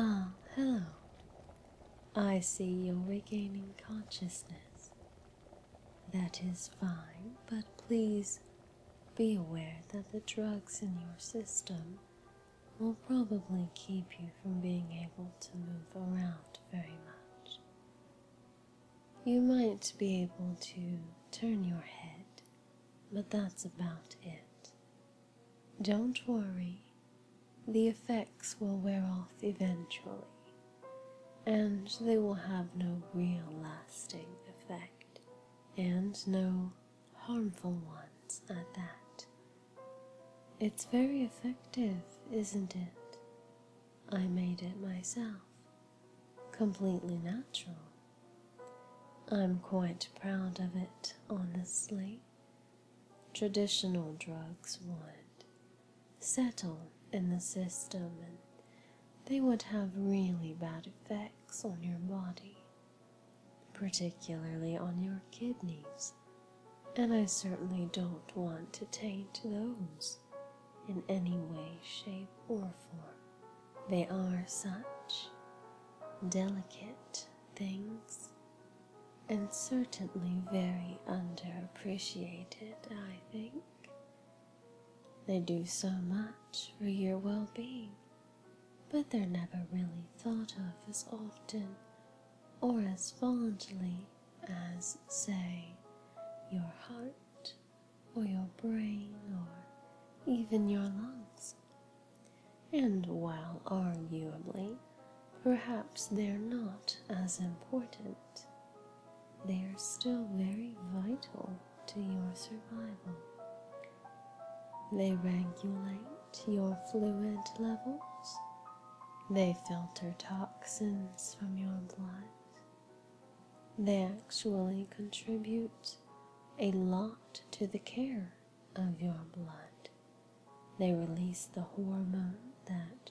Ah, hello. I see you're regaining consciousness. That is fine, but please be aware that the drugs in your system will probably keep you from being able to move around very much. You might be able to turn your head, but that's about it. Don't worry, the effects will wear off eventually, and they will have no real lasting effect, and no harmful ones at that. It's very effective, isn't it? I made it myself, completely natural. I'm quite proud of it, honestly. Traditional drugs would settle in the system and they would have really bad effects on your body, particularly on your kidneys and I certainly don't want to taint those in any way, shape, or form. They are such delicate things and certainly very underappreciated, I think. They do so much for your well being, but they're never really thought of as often or as fondly as, say, your heart or your brain or even your lungs. And while arguably, perhaps they're not as important, they are still very vital to your survival. They regulate to your fluid levels. They filter toxins from your blood. They actually contribute a lot to the care of your blood. They release the hormone that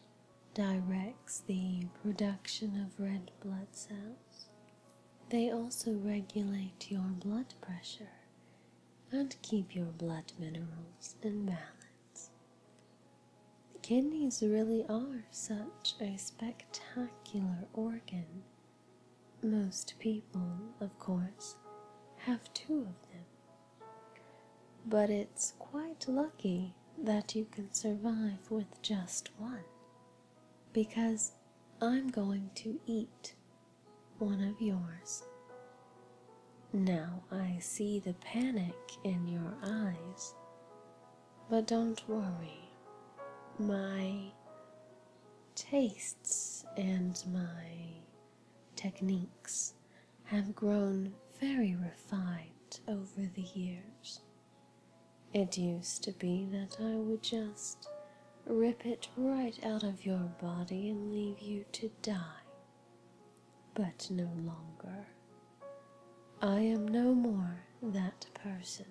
directs the production of red blood cells. They also regulate your blood pressure and keep your blood minerals in balance. The kidneys really are such a spectacular organ. Most people, of course, have two of them. But it's quite lucky that you can survive with just one, because I'm going to eat one of yours. Now I see the panic in your eyes. But don't worry, my tastes and my techniques have grown very refined over the years. It used to be that I would just rip it right out of your body and leave you to die but no longer. I am no more that person.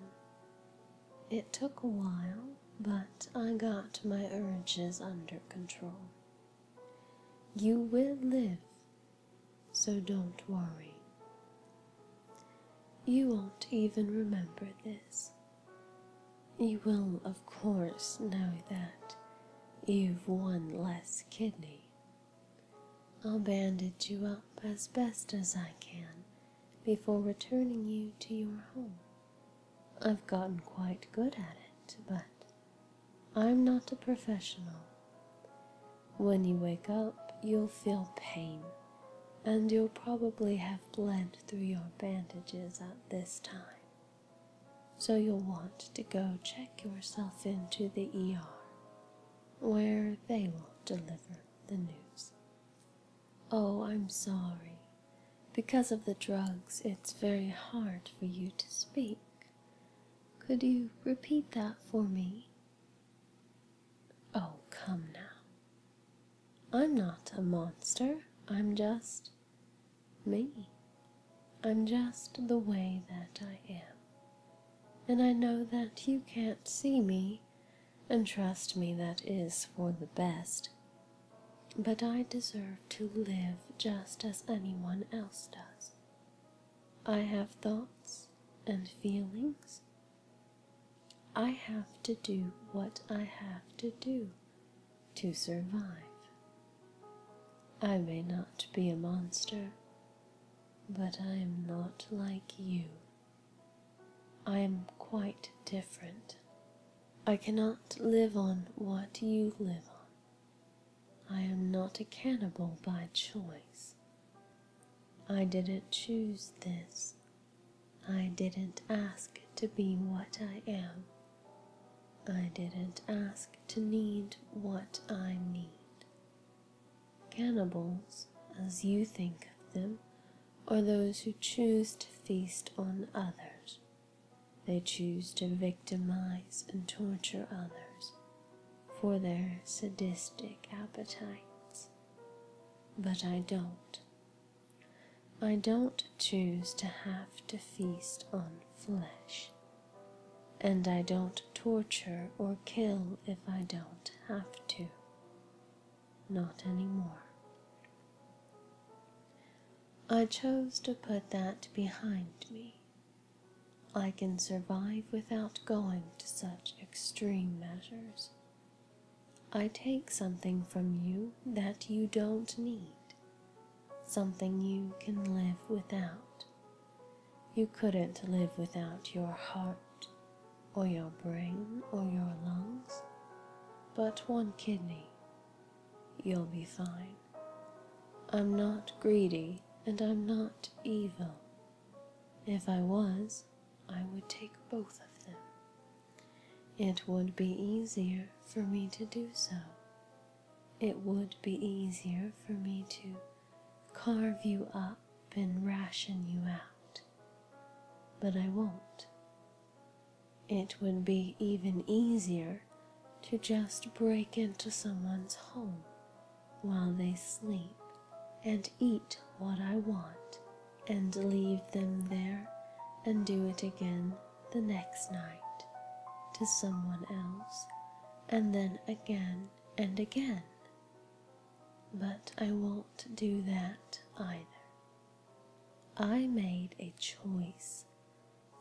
It took a while, but I got my urges under control. You will live, so don't worry. You won't even remember this. You will, of course, know that You've one less kidney. I'll bandage you up as best as I can before returning you to your home. I've gotten quite good at it, but I'm not a professional. When you wake up, you'll feel pain, and you'll probably have bled through your bandages at this time. So you'll want to go check yourself into the ER, where they will deliver the news. Oh, I'm sorry. Because of the drugs, it's very hard for you to speak. Could you repeat that for me? Oh, come now. I'm not a monster. I'm just me. I'm just the way that I am. And I know that you can't see me, and trust me, that is for the best. But I deserve to live just as anyone else does. I have thoughts and feelings. I have to do what I have to do to survive. I may not be a monster, but I am not like you. I am quite different. I cannot live on what you live on. I am not a cannibal by choice. I didn't choose this. I didn't ask to be what I am. I didn't ask to need what I need. Cannibals, as you think of them, are those who choose to feast on others. They choose to victimize and torture others for their sadistic appetites. But I don't. I don't choose to have to feast on flesh and I don't torture or kill if I don't have to. Not anymore. I chose to put that behind me. I can survive without going to such extreme measures. I take something from you that you don't need, something you can live without. You couldn't live without your heart, or your brain, or your lungs, but one kidney. You'll be fine. I'm not greedy, and I'm not evil. If I was, I would take both of them. It would be easier for me to do so. It would be easier for me to carve you up and ration you out, but I won't. It would be even easier to just break into someone's home while they sleep and eat what I want and leave them there and do it again the next night to someone else and then again and again. But I won't do that either. I made a choice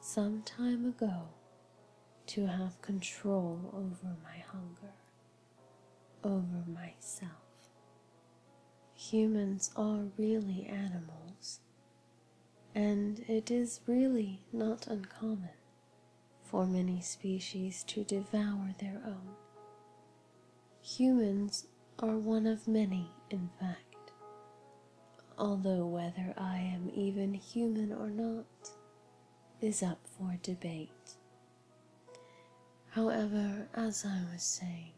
some time ago to have control over my hunger, over myself. Humans are really animals, and it is really not uncommon for many species to devour their own. Humans are one of many, in fact, although whether I am even human or not is up for debate. However, as I was saying,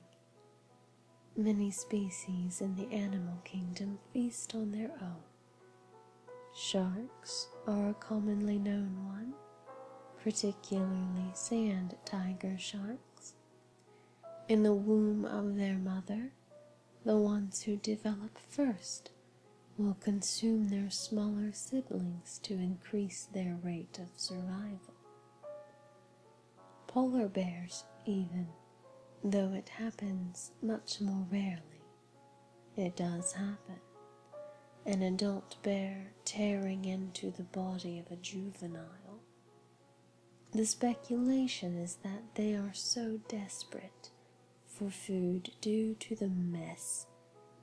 many species in the animal kingdom feast on their own Sharks are a commonly known one, particularly sand tiger sharks. In the womb of their mother, the ones who develop first will consume their smaller siblings to increase their rate of survival. Polar bears, even, though it happens much more rarely, it does happen. An adult bear tearing into the body of a juvenile. The speculation is that they are so desperate for food due to the mess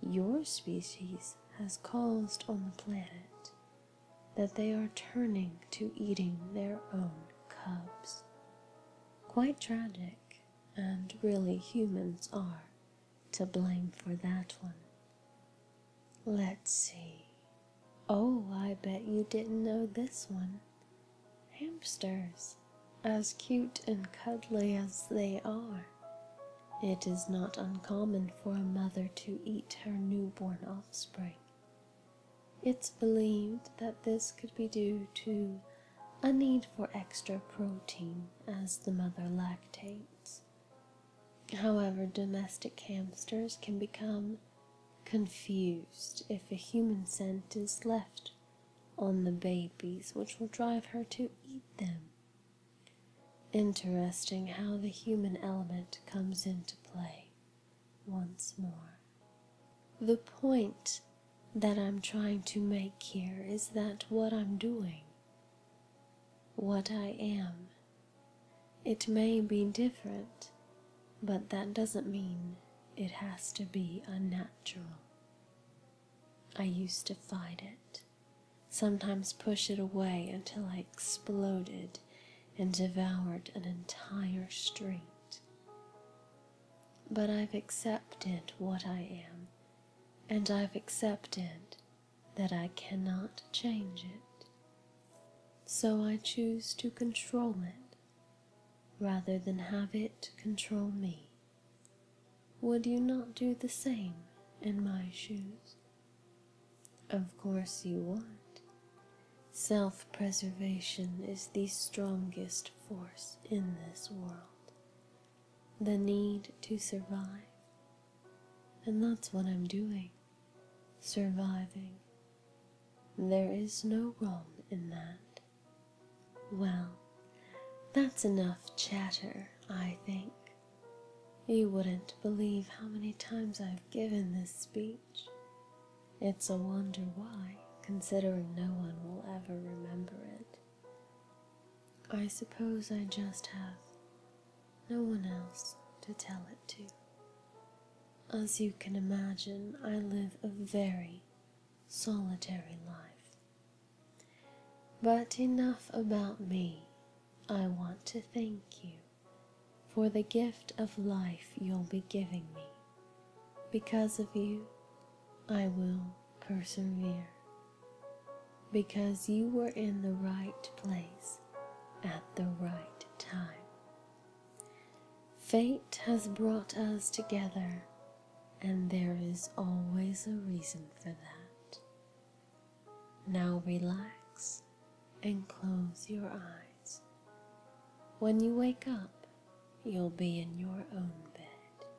your species has caused on the planet that they are turning to eating their own cubs. Quite tragic, and really humans are to blame for that one. Let's see. Oh, I bet you didn't know this one. Hamsters, as cute and cuddly as they are, it is not uncommon for a mother to eat her newborn offspring. It's believed that this could be due to a need for extra protein as the mother lactates. However, domestic hamsters can become confused if a human scent is left on the babies, which will drive her to eat them. Interesting how the human element comes into play once more. The point that I'm trying to make here is that what I'm doing, what I am, it may be different, but that doesn't mean it has to be unnatural. I used to fight it, sometimes push it away until I exploded and devoured an entire street. But I've accepted what I am and I've accepted that I cannot change it. So I choose to control it rather than have it control me. Would you not do the same in my shoes? Of course you would. Self-preservation is the strongest force in this world the need to survive. And that's what I'm doing, surviving. There is no wrong in that. Well, that's enough chatter, I think. You wouldn't believe how many times I've given this speech. It's a wonder why, considering no one will ever remember it. I suppose I just have no one else to tell it to. As you can imagine, I live a very solitary life. But enough about me. I want to thank you for the gift of life you'll be giving me. Because of you, I will persevere because you were in the right place at the right time. Fate has brought us together, and there is always a reason for that. Now relax and close your eyes. When you wake up, you'll be in your own bed.